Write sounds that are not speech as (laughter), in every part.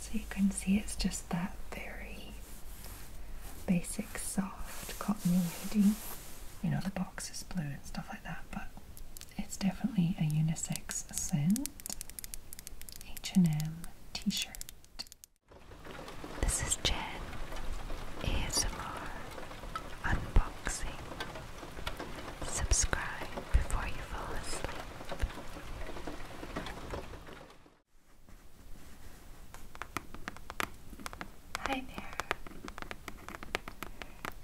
So you can see it's just that very basic soft cottony hoodie. You know the box is blue and stuff like that, but it's definitely a unisex scent. H&M t-shirt. This is Jen, ASMR, unboxing. Subscribe before you fall asleep. Hi there.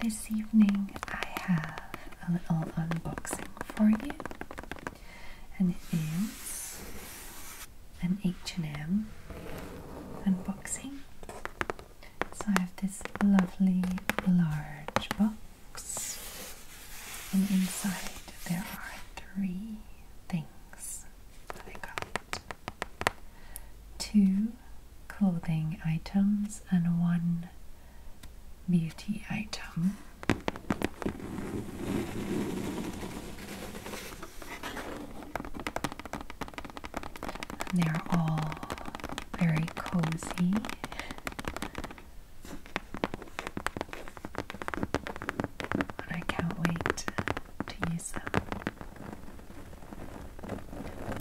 This evening I have a little unboxing for you and it is an H&M unboxing. So I have this lovely large box and inside there are three things that I got. Two clothing items and one beauty item. they're all very cozy. And I can't wait to use them.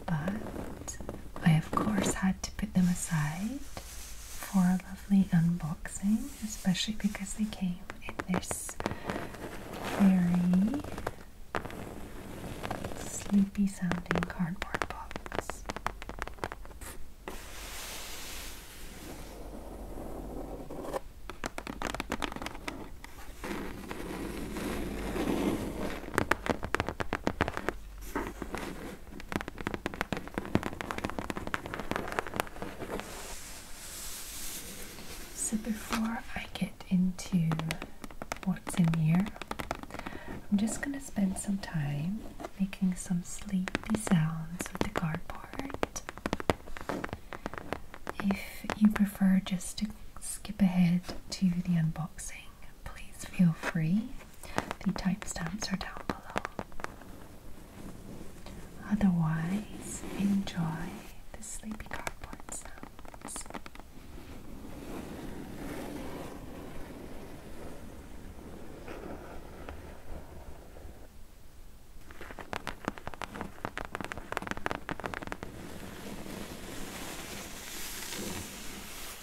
But I, of course, had to put them aside for a lovely unboxing, especially because they came in this very sleepy sounding cardboard box. So before I get into what's in here, I'm just going to spend some time making some sleepy sounds with the cardboard. If you prefer just to skip ahead to the unboxing, please feel free. The timestamps are down below. Otherwise, enjoy the sleepy cardboard sounds.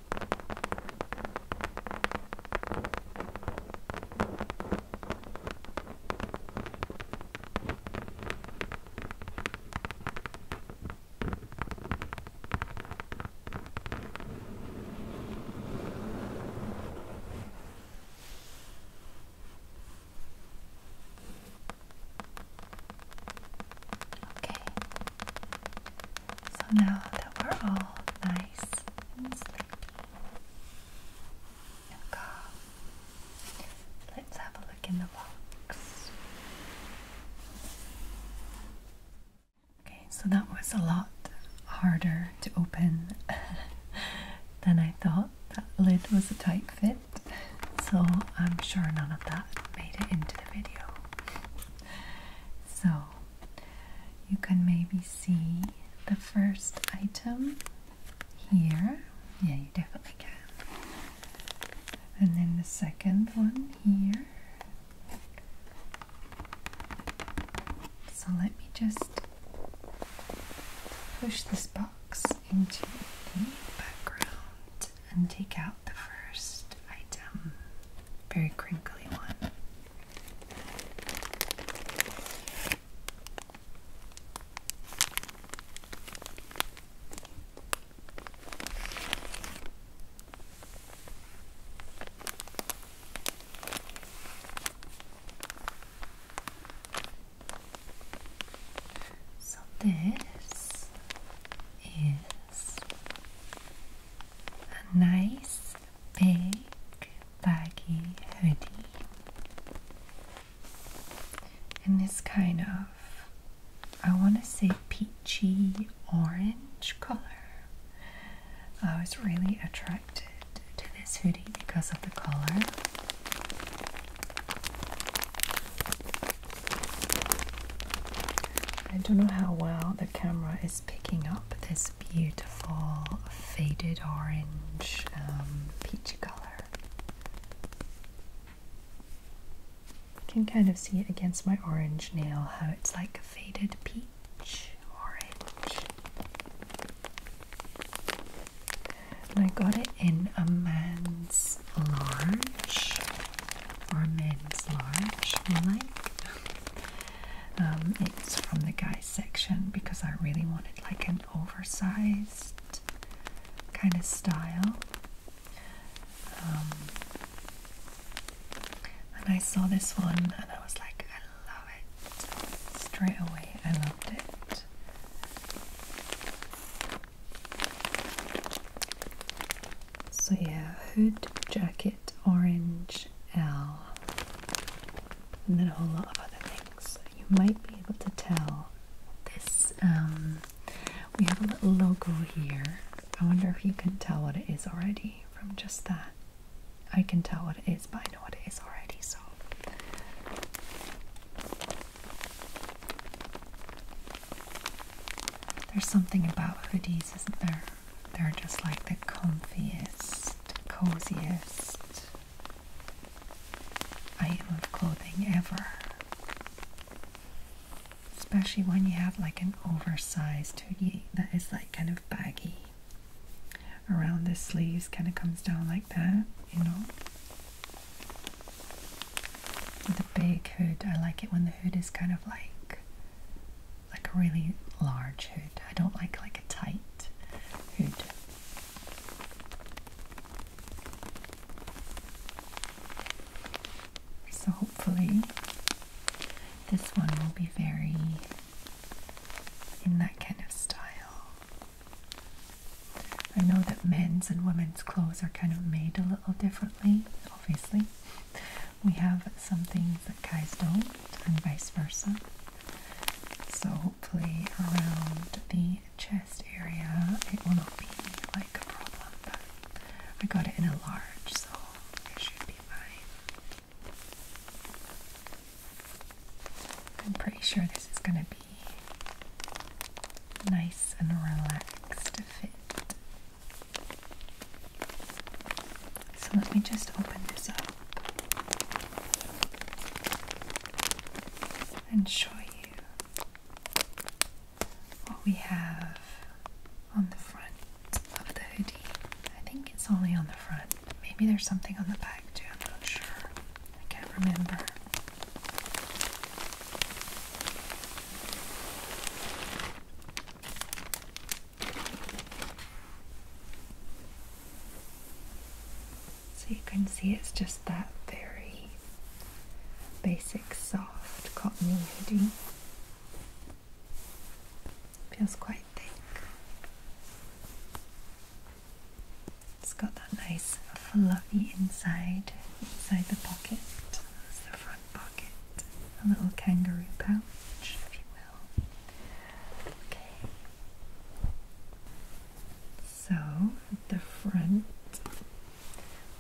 Okay, so now that we're all nice Let's have a look in the box. Okay, so that was a lot harder to open (laughs) than I thought. That lid was a tight fit, so I'm sure none of that made it into the video. So you can maybe see the first item here. Yeah, you definitely can. And then the second one here. So let me just push this box into the background and take out the first item very crinkly one. So this is a nice this big baggy hoodie and this kind of I want to say peachy orange color. I was really attracted to this hoodie because of the color. I don't know how well the camera is picking up this beautiful faded orange um, peach color. Can kind of see it against my orange nail how it's like a faded peach orange. And I got it in a man's large or a men's large, more um, it's from the guys section because I really wanted like an oversized kind of style. Um, and I saw this one and I was like, I love it. Straight away, I loved it. So, yeah, hood, jacket, orange, HL, and then a whole lot of other things. You might be able to tell this. Um, we have a little logo here. I wonder if you can tell what it is already from just that. I can tell what it is, but I know what it is already, so. There's something about hoodies, isn't there? They're just like the comfiest, coziest item of clothing ever. Especially when you have like an oversized hoodie that is like kind of baggy. Around the sleeves kind of comes down like that, you know. The big hood, I like it when the hood is kind of like like a really large hood. I don't like like a tight hood. So hopefully this one will be very in that kind of style. I know that men's and women's clothes are kind of made a little differently, obviously, we have some things that guys don't, and vice versa. So, hopefully, around the chest area, it will not be like a problem. But I got it in a large, so it should be fine. I'm pretty sure this is going to be nice and relaxed fit. So let me just open this up and show you what we have on the front of the hoodie. I think it's only on the front. Maybe there's something on the back too, I'm not sure. I can't remember. So you can see it's just that very basic soft cottony hoodie. Feels quite thick. It's got that nice fluffy inside, inside the pocket. the front pocket. A little kangaroo pouch, if you will. So at the front,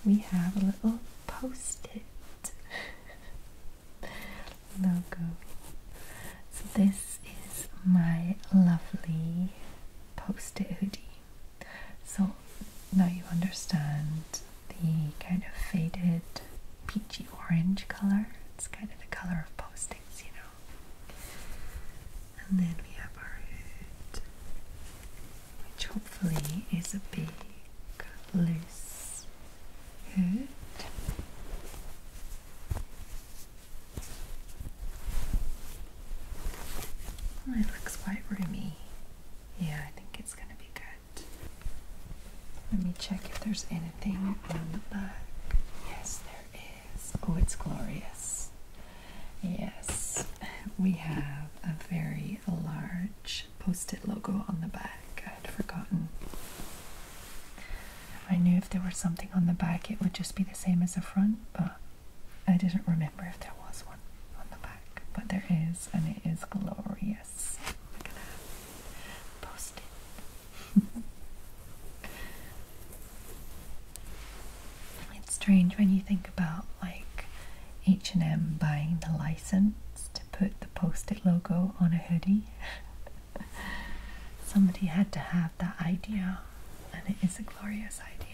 we have a little post-it (laughs) logo. So this is my lovely post-it hoodie. So now you understand the kind of faded peachy orange color. It's kind of the color of postings, you know. And then we have our hood, which hopefully is a big, loose hood. it looks quite roomy. Yeah, I think it's going to be good. Let me check if there's anything on the back. Yes, there is. Oh, it's glorious. Yes, we have a very large post it logo on the back. I would forgotten. I knew if there was something on the back, it would just be the same as the front, but I didn't remember if there was one on the back. But there is, and it is glorious. Look at that. Post it. (laughs) it's strange when you think about like H&M buying the license to put the post-it logo on a hoodie. (laughs) Somebody had to have that idea and it is a glorious idea.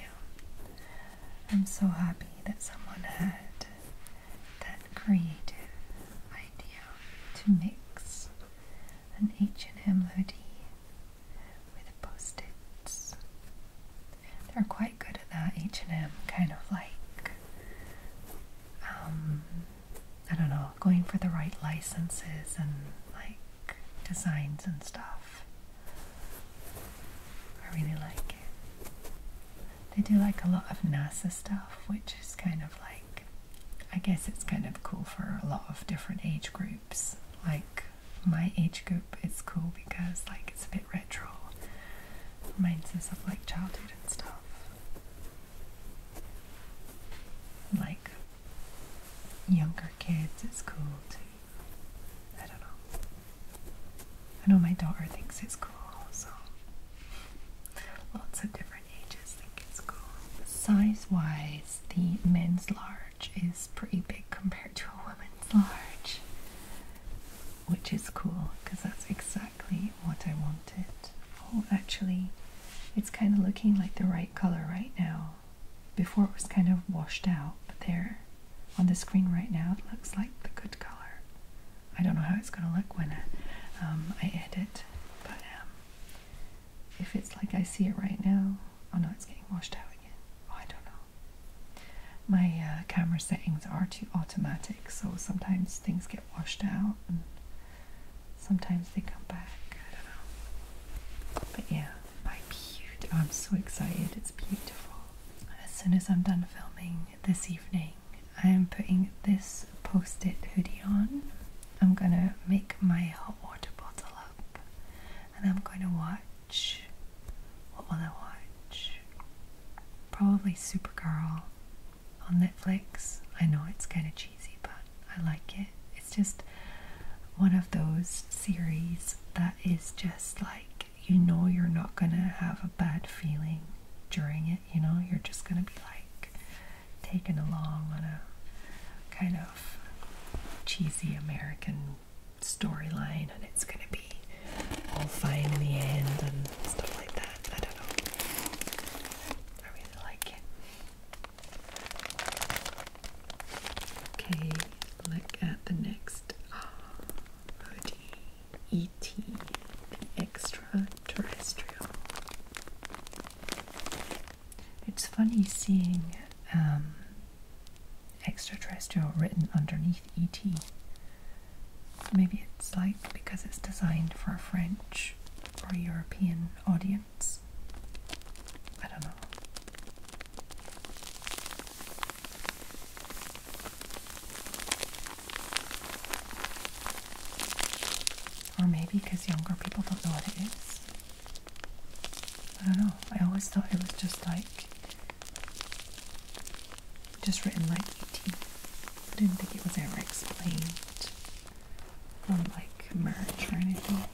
I'm so happy that someone had the creative idea to mix an H&M hoodie with post-its. They're quite good at that, H&M, kind of like, um, I don't know, going for the right licenses and like designs and stuff. I really like They do like a lot of NASA stuff, which is kind of like I guess it's kind of cool for a lot of different age groups. Like my age group, it's cool because like it's a bit retro, reminds us of like childhood and stuff. Like younger kids, it's cool too. I don't know. I know my daughter thinks it's cool, so Size wise, the men's large is pretty big compared to a woman's large, which is cool because that's exactly what I wanted. Oh, actually, it's kind of looking like the right color right now. Before it was kind of washed out, but there on the screen right now, it looks like the good color. I don't know how it's going to look when I, um, I edit, but um, if it's like I see it right now, oh no, it's getting washed out again. Oh, I don't know. My uh, camera settings are too automatic, so sometimes things get washed out and sometimes they come back. I don't know. But yeah, my beautiful. I'm so excited. It's beautiful. As soon as I'm done filming this evening, I am putting this post-it hoodie on. I'm gonna make my hot water bottle up and I'm gonna watch what will I watch? Probably Supergirl on Netflix. I know it's kinda cheesy but I like it. It's just one of those series that is just like you know you're not gonna have a bad feeling during it, you know, you're just gonna be like taken along on a kind of cheesy American storyline, and it's going to be all fine in the end and stuff like that. I don't know. I really like it. Okay, look at the next hoodie. Oh, E.T. the extraterrestrial. It's funny seeing um, extraterrestrial written underneath ET. Maybe it's like because it's designed for a French or European audience. I don't know. Or maybe because younger people don't know what it is. I don't know. I always thought it was just like, just written like 18. I didn't think it was ever explained or like merge or anything.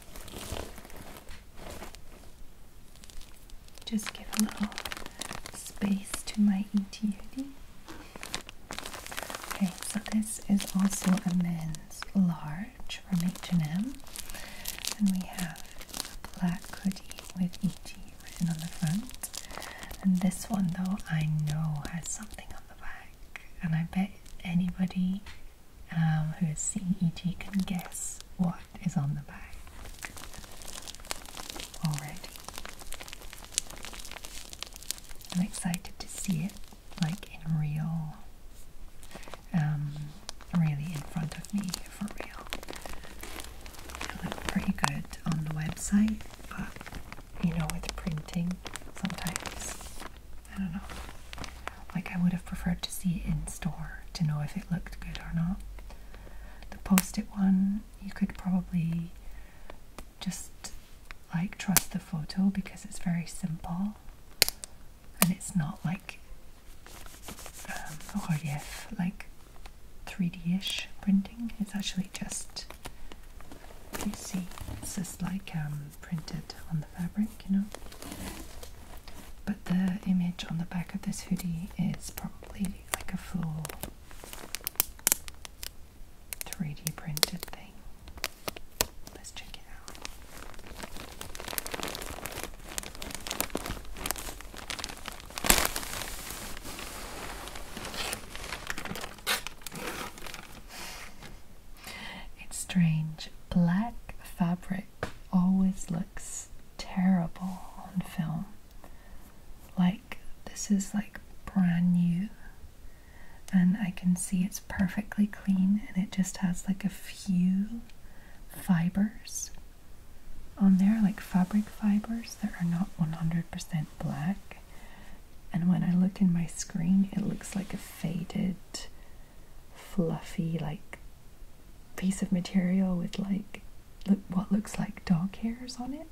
Just give a little space to my ETUD. Okay, so this is also a men's large from H&M. And we have a black hoodie with ET written on the front. And this one though, I know has something on the back. And I bet anybody um, who has seen ET can guess what is on the back. Alright. I'm excited to see it like in real, um, really in front of me for real. They look pretty good on the website, but you know, with printing, sometimes I don't know. Like, I would have preferred to see it in store to know if it looked good or not. The post it one, you could probably just like trust the photo because it's very simple and it's not like 3d-ish um, printing it's actually just you see it's just like um, printed on the fabric you know but the image on the back of this hoodie is probably like a full 3D printed thing. Let's check it out. It's strange. Black fabric always looks terrible on film. Like, this is like brand new and I can see it's perfectly clean and it just has like a few fibers on there, like fabric fibers that are not 100% black. And when I look in my screen, it looks like a faded, fluffy, like piece of material with like what looks like dog hairs on it.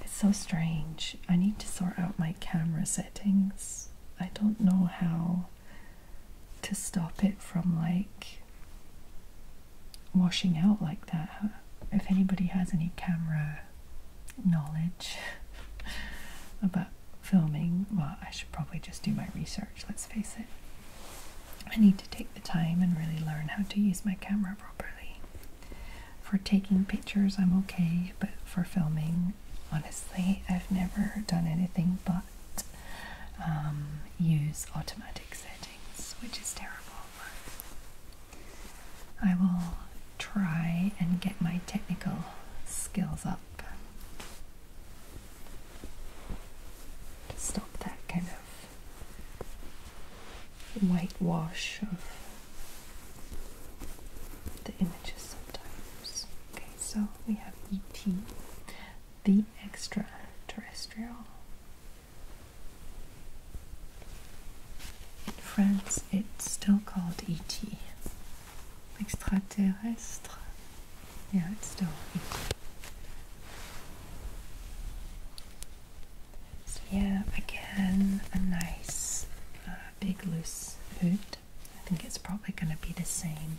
It's so strange. I need to sort out my camera settings. I don't know how to stop it from like washing out like that. If anybody has any camera knowledge (laughs) about filming, well, I should probably just do my research, let's face it. I need to take the time and really learn how to use my camera properly. For taking pictures, I'm okay, but for filming, honestly, I've never done anything but um, use automatic settings, which is terrible. I will try and get my technical skills up to stop that kind of whitewash of the images sometimes. Okay, so we have ET, the extraterrestrial. In France, it's still called ET. Extraterrestre. Yeah, it's still ET. So, yeah, again, a nice uh, big loose hood. I think it's probably going to be the same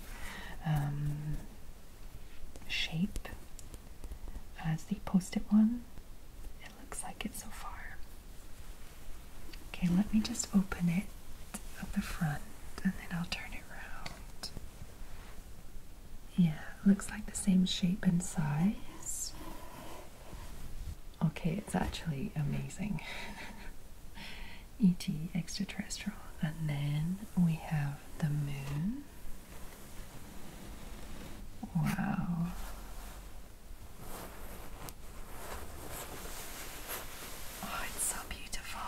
um, shape as the post-it one. It looks like it so far. Okay, let me just open it at the front and then I'll turn it around. Yeah, looks like the same shape and size. Okay, it's actually amazing. (laughs) ET extraterrestrial. And then we have the moon. Wow. Oh, it's so beautiful.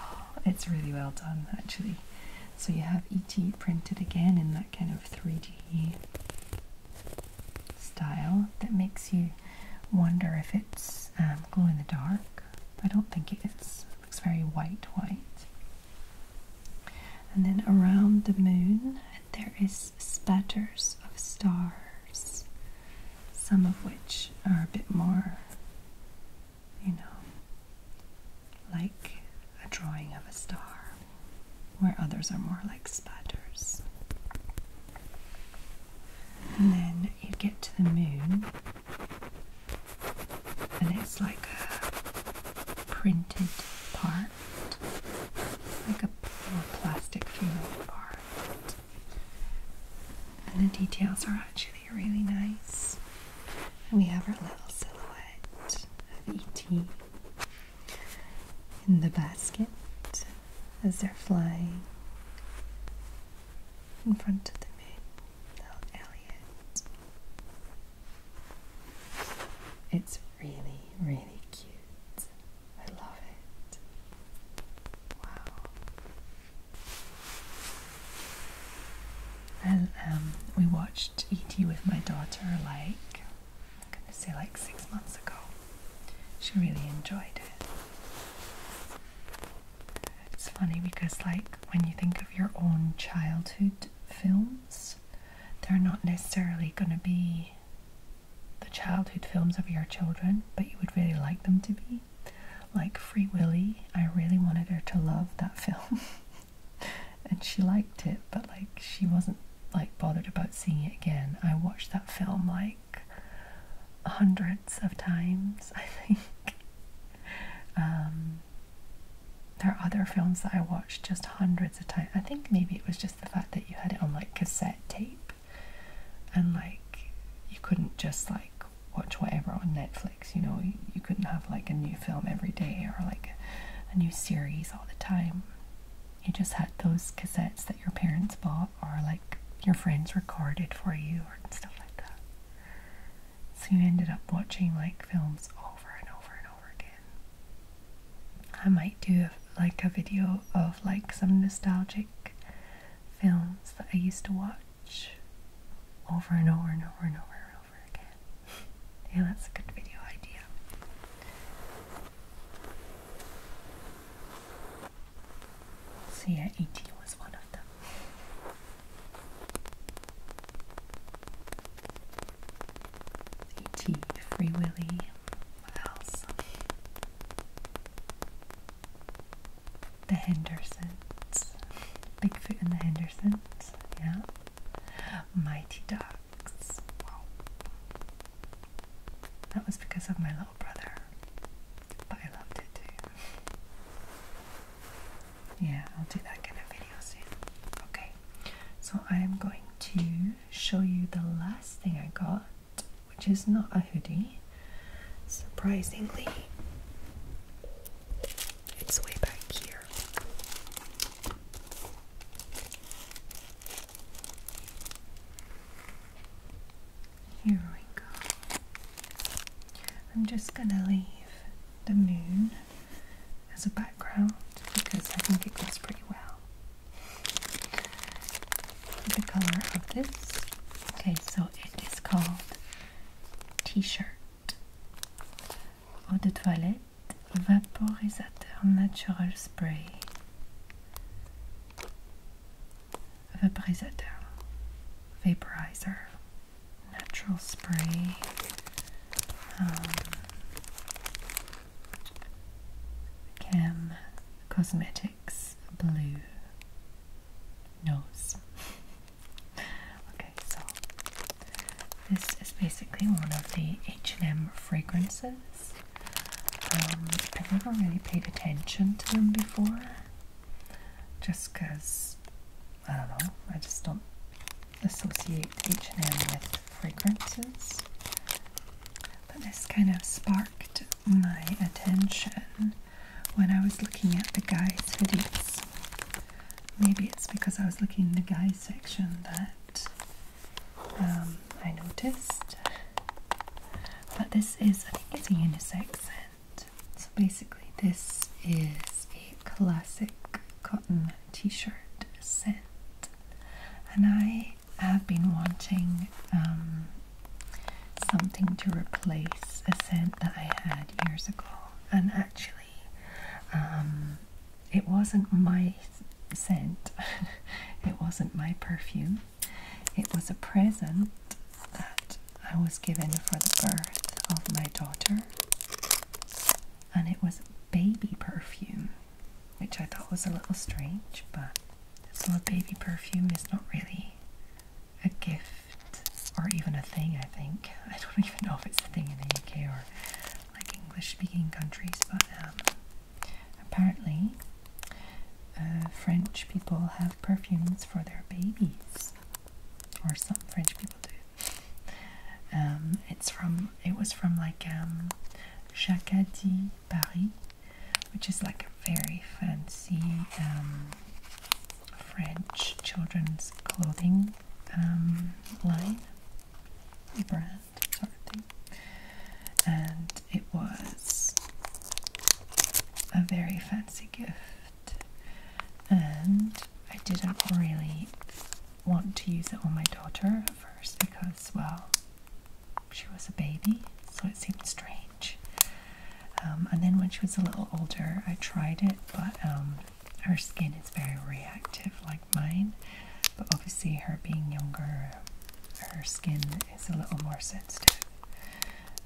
It's really well done, actually. So you have ET printed again in that kind of 3D style that makes you wonder if it's um, glow in the dark. I don't think it is. It looks very white, white. And then around the moon, there is spatters of stars, some of which are a bit more, you know, like a drawing of a star, where others are more like spatters and then you get to the moon, and it's like a printed part, like a plastic funeral part, and the details are actually really nice. And we have our little silhouette of E.T in the basket as they're flying in front of the maid, little Elliot. It's really, really cute. I love it. Wow. And um, we watched E.T. with my daughter like I'm gonna say like six months ago. She really enjoyed it. It's funny because, like, when you think of your own childhood films, they're not necessarily going to be the childhood films of your children, but you would really like them to be. Like Free Willy, I really wanted her to love that film. (laughs) and she liked it, but, like, she wasn't, like, bothered about seeing it again. I watched that film, like, hundreds of times, I think. Um, there are other films that I watched just hundreds of times. I think maybe it was just the fact that you had it on like cassette tape and like you couldn't just like watch whatever on Netflix, you know, you couldn't have like a new film every day or like a new series all the time. You just had those cassettes that your parents bought or like your friends recorded for you or stuff like that. So you ended up watching like films over and over and over again. I might do like a video of like some nostalgic films that I used to watch over and over and over and over and over again. (laughs) yeah, that's a good video idea. So yeah, E.T. was one of them. E.T., Free Willy, what else? The Hendersons. Bigfoot and the Hendersons, yeah. Mighty Ducks. Wow. That was because of my love brother, but I loved it too. Yeah, I'll do that kind of video soon. Okay, so I am going to show you the last thing I got, which is not a hoodie. Surprisingly, it's way back here. Here we go. I'm just going to leave the moon as a background because I think it goes pretty well. The color of this. Okay, so it is called T-shirt Eau de Toilette Vaporisateur Natural Spray. Vaporizer, vaporizer, natural spray, um, Cosmetics Blue Nose. (laughs) okay, so this is basically one of the H&M fragrances. I've never really paid attention to them before, just because I don't know. I just don't associate H and M with fragrances. But this kind of sparked my attention when I was looking at the guys' hoodies. Maybe it's because I was looking in the guys' section that um, I noticed. But this is, I think it's a unisex scent. So basically, this is a classic cotton t shirt scent. And I have been wanting um, something to replace a scent that I had years ago. And actually, um, it wasn't my scent, (laughs) it wasn't my perfume. It was a present that I was given for the birth of my daughter, and it was baby perfume, which I thought was a little strange, but so a baby perfume is not really a gift or even a thing, I think. I don't (laughs) even know if it's a thing in the UK or like English speaking countries, but um, Apparently, uh, French people have perfumes for their babies, or some French people do. Um, it's from it was from like um, Paris, which is like a very fancy um, French children's clothing um, line, brand sort of thing and it was a very fancy gift, and I didn't really want to use it on my daughter at first because, well, she was a baby, so it seemed strange. Um, and then when she was a little older, I tried it, but um, her skin is very reactive, like mine. But obviously, her being younger, her skin it's a little more sensitive.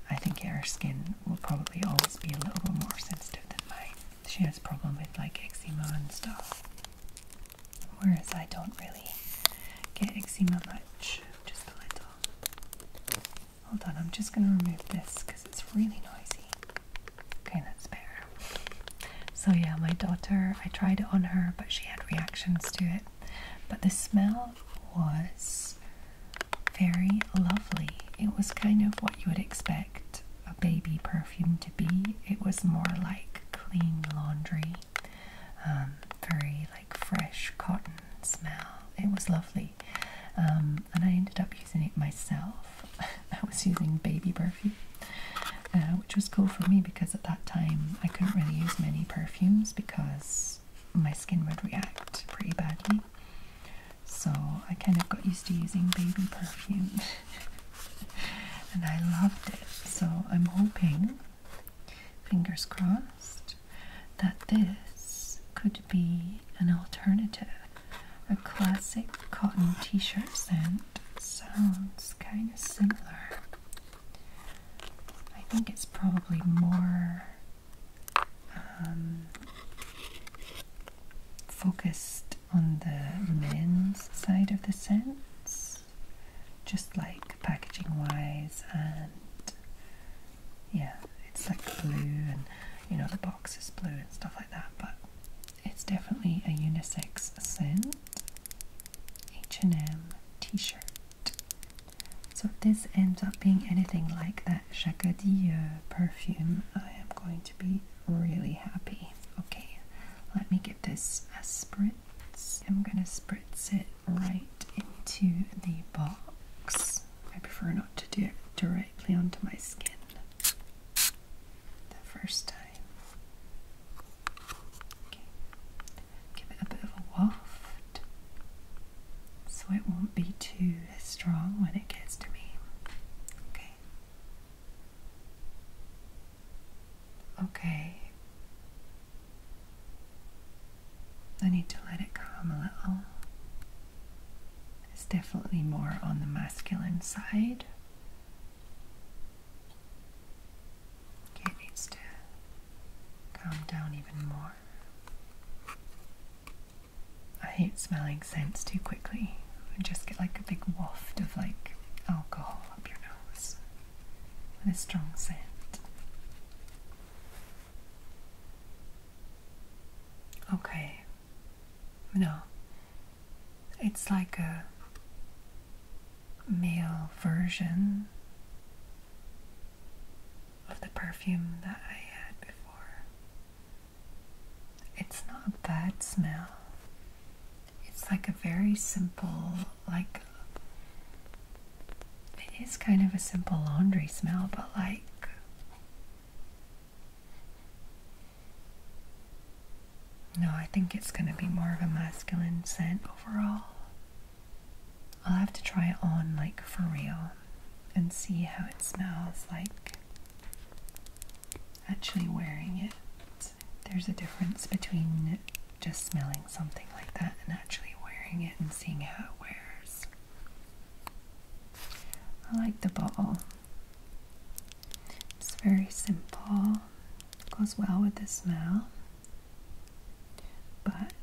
I think her skin will probably always be a little bit more sensitive than mine. She has problem with like eczema and stuff. Whereas I don't really get eczema much, just a little. Hold on, I'm just going to remove this because it's really noisy. Okay, that's better. So yeah, my daughter, I tried it on her, but she had reactions to it. But the smell was very lovely. It was kind of what you would expect a baby perfume to be. It was more like clean laundry, um, very like fresh cotton smell. It was lovely. Um, and I ended up using it myself. (laughs) I was using baby perfume, uh, which was cool for me because at that time I couldn't really use many perfumes because my skin would react pretty badly. So I kind of got used to using baby perfume (laughs) and I loved it. So I'm hoping, fingers crossed, that this could be an alternative. A classic cotton t shirt scent sounds kind of similar I think it's probably more um, focused on the men's side of the scents, just like packaging wise, and yeah, it's like blue and you know the box is blue and stuff like that, but it's definitely a unisex scent. H&M t-shirt. So if this ends up being anything like that Jacadille uh, perfume, I am going to be really happy. Okay, let me get this spritz. I'm gonna spritz it right into the box. I prefer not to do it directly onto my skin the first time. Give it a bit of a waft so it won't be too strong when it gets to me. Okay. Okay. I need to let it calm a little. It's definitely more on the masculine side. Okay, it needs to calm down even more. I hate smelling scents too quickly. You just get like a big waft of like alcohol up your nose with a strong scent. Okay. No. It's like a male version of the perfume that I had before. It's not a bad smell. It's like a very simple, like, it is kind of a simple laundry smell, but like, no, I think it's going to be more of a masculine scent overall. I'll have to try it on like for real and see how it smells like actually wearing it. There's a difference between just smelling something like that and actually wearing it and seeing how it wears. I like the bottle. It's very simple. Goes well with the smell. But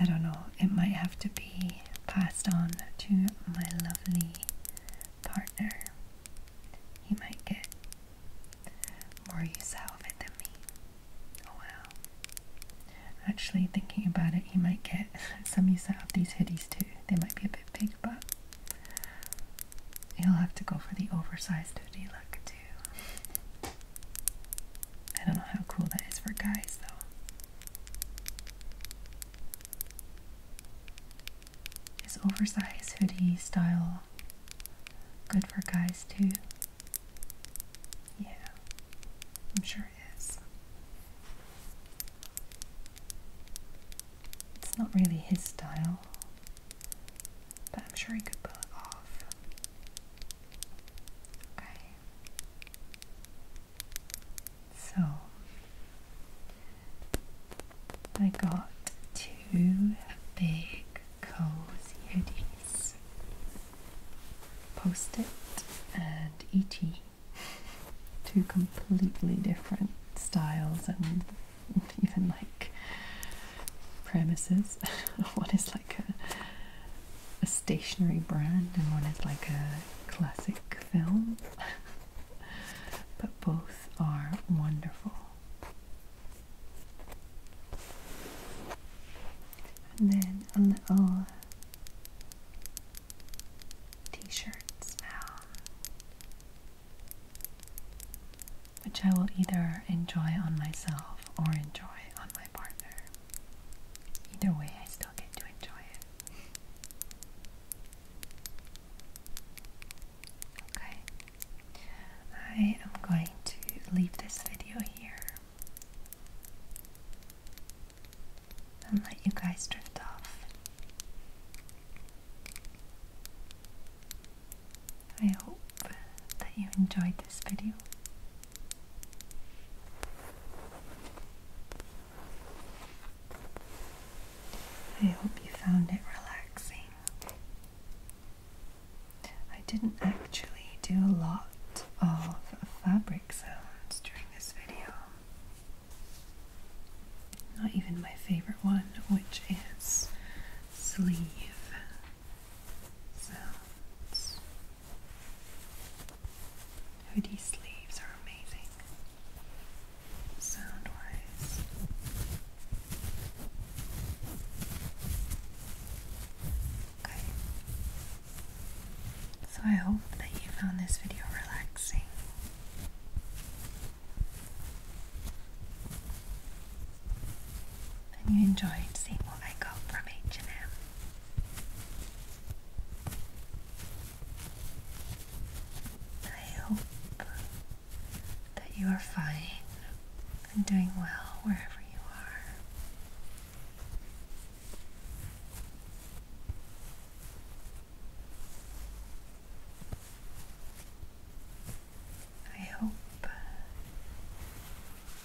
I don't know, it might have to be passed on to my lovely partner. He might get more use out of it than me. Oh Actually, thinking about it, he might get (laughs) some use out of these hoodies too. They might be a bit big, but he'll have to go for the oversized hoodie look too too. I don't know how cool that is for guys, though. Is oversized hoodie style good for guys, too? Yeah, I'm sure it is. It's not really his style. But I'm sure he could pull it off. Okay. So I got two big cozy hoodies. Post it and ET. Two completely different styles and (laughs) even like premises. (laughs) What is like? a, stationary brand and one is like a classic film. (laughs) but both are wonderful. And then a little oh, t-shirts now. Ah which I will either enjoy on myself or enjoy on my partner. Either way, I still get to enjoy it. Okay, I am going to leave this video here and let you guys drift off. I hope that you enjoyed this video. I hope you found it relaxing. I didn't actually do a lot of fabric sounds during this video. Not even my favorite one, which is sleeve so, Hoodie oh, sleeves are amazing sound wise. Okay. So I hope that you found this video relaxing and you enjoyed seeing what I got from H&M. hope that you are fine and doing well wherever you are. I hope